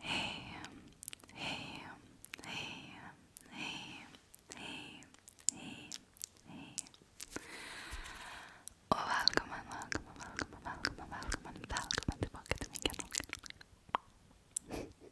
Hey, hey, hey, hey, hey, hey, hey. Oh, welcome and welcome and welcome and welcome and welcome and welcome and welcome to Pocket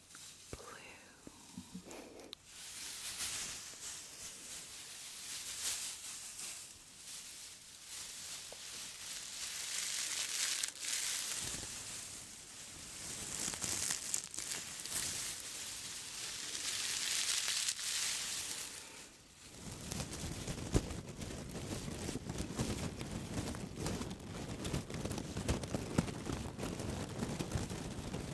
blue. Now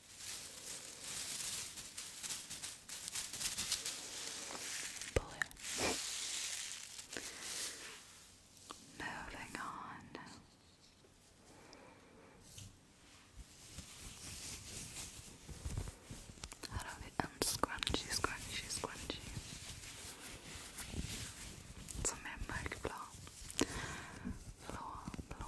Blue. Moving on. Out of it and scrunchy, scrunchy, scrunchy. Som en mörkblå. Blå,